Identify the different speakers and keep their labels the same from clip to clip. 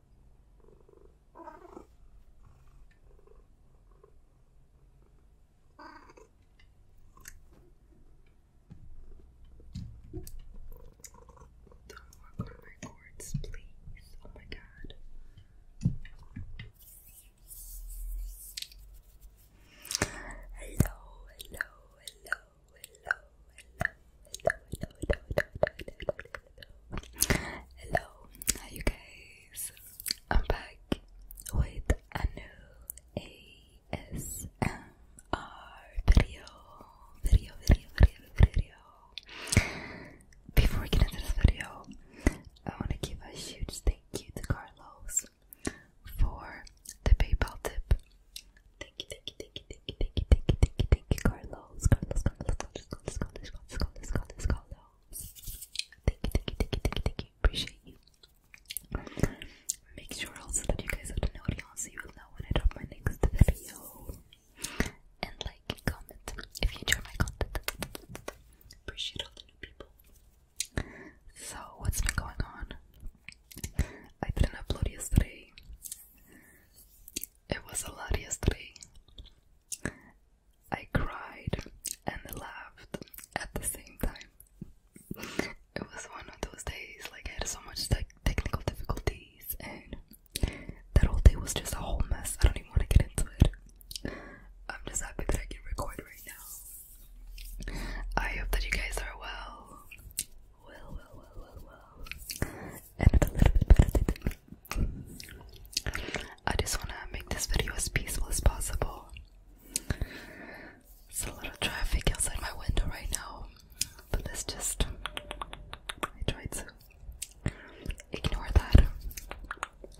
Speaker 1: Don't work on my cords, please. Oh my god. Hello, hello, hello, hello, hello, hi you guys. I'm back with a new ASMR video, video, video, video, video. Before we get into this video, I want to give a huge thank you to Carlos for the PayPal tip. Thank you, thank you, thank you, thank you, thank you, thank you, thank you, Carlos. Carlos, Carlos, Carlos, Carlos, Carlos, Carlos, Carlos, Carlos. Thank you, thank you, thank you, thank you, thank you. Appreciate you. Make sure also that you guys have the note on so you will when I drop my next video. And like, comment if you enjoy my content. Appreciate all the new people. So, what's been going on? I didn't upload yesterday. It was a lot yesterday. I cried and laughed at the same time. It was one of those days, like I had so much technical difficulties, and that whole day was just a whole mess. I don't even want to get into it. I'm just happy that I can record right now. I hope that you guys are well. Well, well, well, well, well. I just want to make this video as peaceful as possible. It's a lot of traffic outside my window right now, but let's just. I tried to ignore that.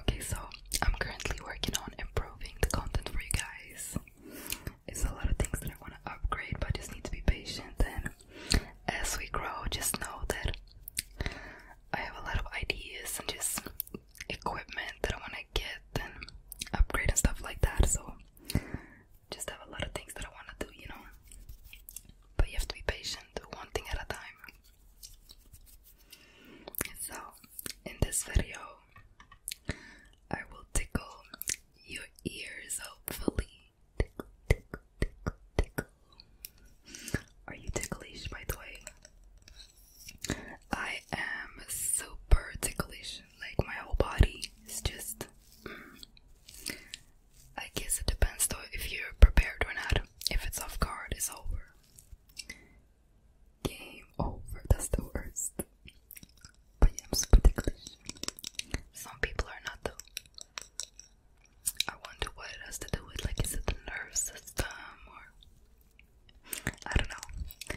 Speaker 1: Okay, so I'm currently working on improving the content for you guys. It's a lot of things that I want to upgrade, but I just need to be patient and as we grow, just know that I have a lot of ideas and just equipment that I want to get and upgrade and stuff like that. So, just have a lot of things that I want to do, you know. But you have to be patient, do one thing at a time. So, in this video, I will tickle your ears hopefully. Tickle, tickle, tickle, tickle. Are you ticklish, by the way? I am super ticklish. Like, my whole body is just. Mm. I guess it depends, though, if you're prepared or not. If it's off guard, it's over. Game over. That's the worst. But yeah, I'm super ticklish. Some people are not, though. I wonder what it has to do with like is it the nerve system or I don't know.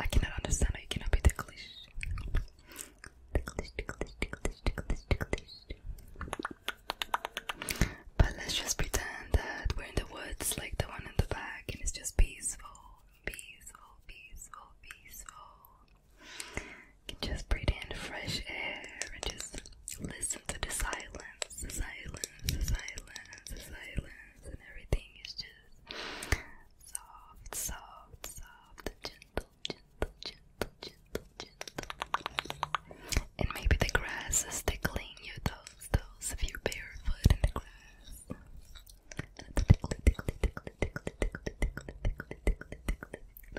Speaker 1: I cannot understand I cannot be ticklish. Ticklish, ticklish. But let's just pretend that we're in the woods like the one in the back and it's just peaceful, peaceful, peaceful, peaceful just breathe in fresh air and just listen to the silence, the silence, the silence, silence, and everything is just soft, soft, soft, gentle, gentle, gentle, gentle, gentle. And maybe the grass is tickling your toes, those of you barefoot in the grass.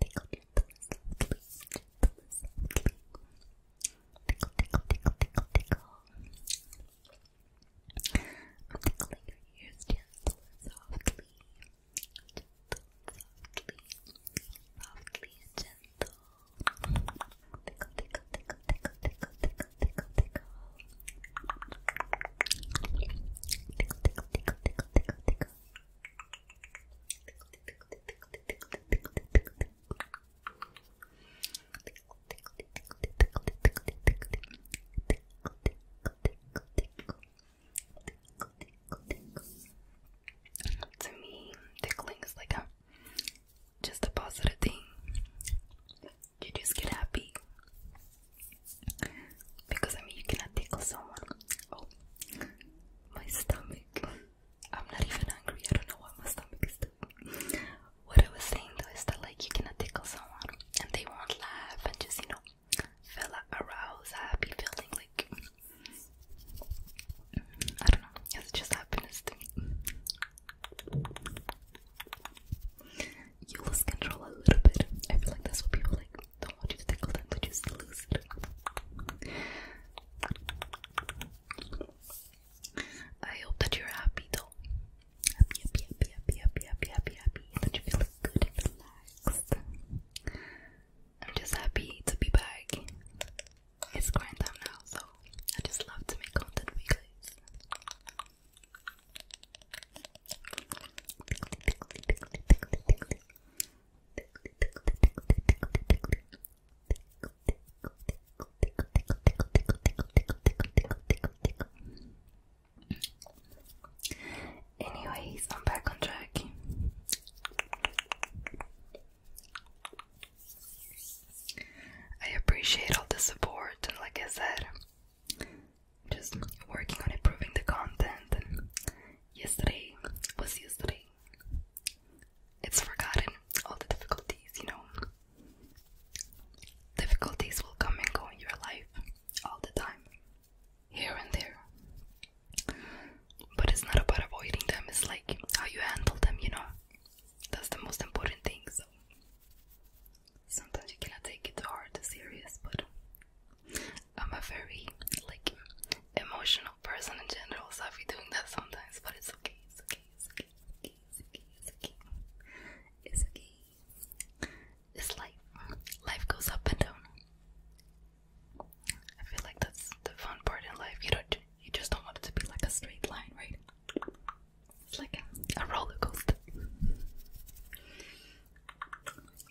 Speaker 1: Tickle, tickle, tickle, tickle, tickle, tickle. I'm tickling your ears gentle softly. softly. Softly gentle. Tickle, tickle, tickle, tickle, tickle, tickle, tickle, tickle. To me, tickling is like a just a positive thing. You just get happy. Because I mean, you cannot tickle someone. Oh, my stomach. I'm not even hungry. I don't know what my stomach is doing. What I was saying though is that like you cannot tickle someone and they won't laugh and just you know feel aroused, happy, feeling like I don't know. It's just happiness to You lose control a little bit. I feel like that's what people like don't want you to tickle them to just lose it. I hope that you're happy though. Happy, happy, happy, happy, happy, happy, happy, happy. That you're feeling good and relaxed. I'm just happy to be back. It's grand time now, so I just love to make content for you guys. Anyways, I'm back on track. I appreciate all the support, and like I said, just working on improving the content. yesterday was yesterday. It's forgotten. All the difficulties, you know. Difficulties will come and go in your life all the time, here and there. But it's not about avoiding them, it's like how you handle them, you know. That's the most important thing, so sometimes you cannot take it hard to serious, but I'm a very like emotional person in general, so I be doing that sometimes, but it's okay, it's okay, it's okay, it's okay, it's okay, it's okay. It's, okay. it's life. Life goes up and down. I feel like that's the fun part in life. You don't you just don't want it to be like a straight line, right? It's like a, a roller coaster.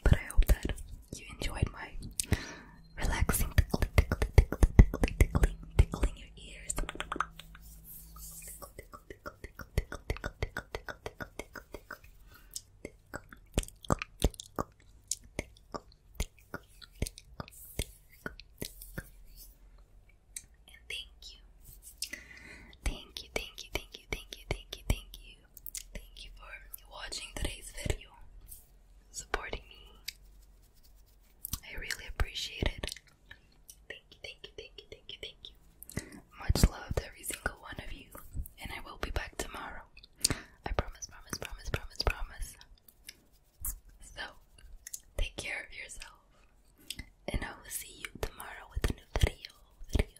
Speaker 1: But I hope that you enjoyed my relaxing tickling, tickling, tickling, tickling, tickling, tickling your ears. Tickle, tickle, tickle, tickle, tickle, tickle, tickle, tickle, tickle, tickle, tickle. And thank you. Thank you, thank you, thank you, thank you, thank you, thank you Thank you for watching today's video, supporting me. I really appreciate it. Thank you, thank you, thank you, thank you, thank you. Much loved every single one of you, and I will be back tomorrow. I promise, promise, promise, promise, promise. So, take care of yourself, and I will see you tomorrow with a new video. Video,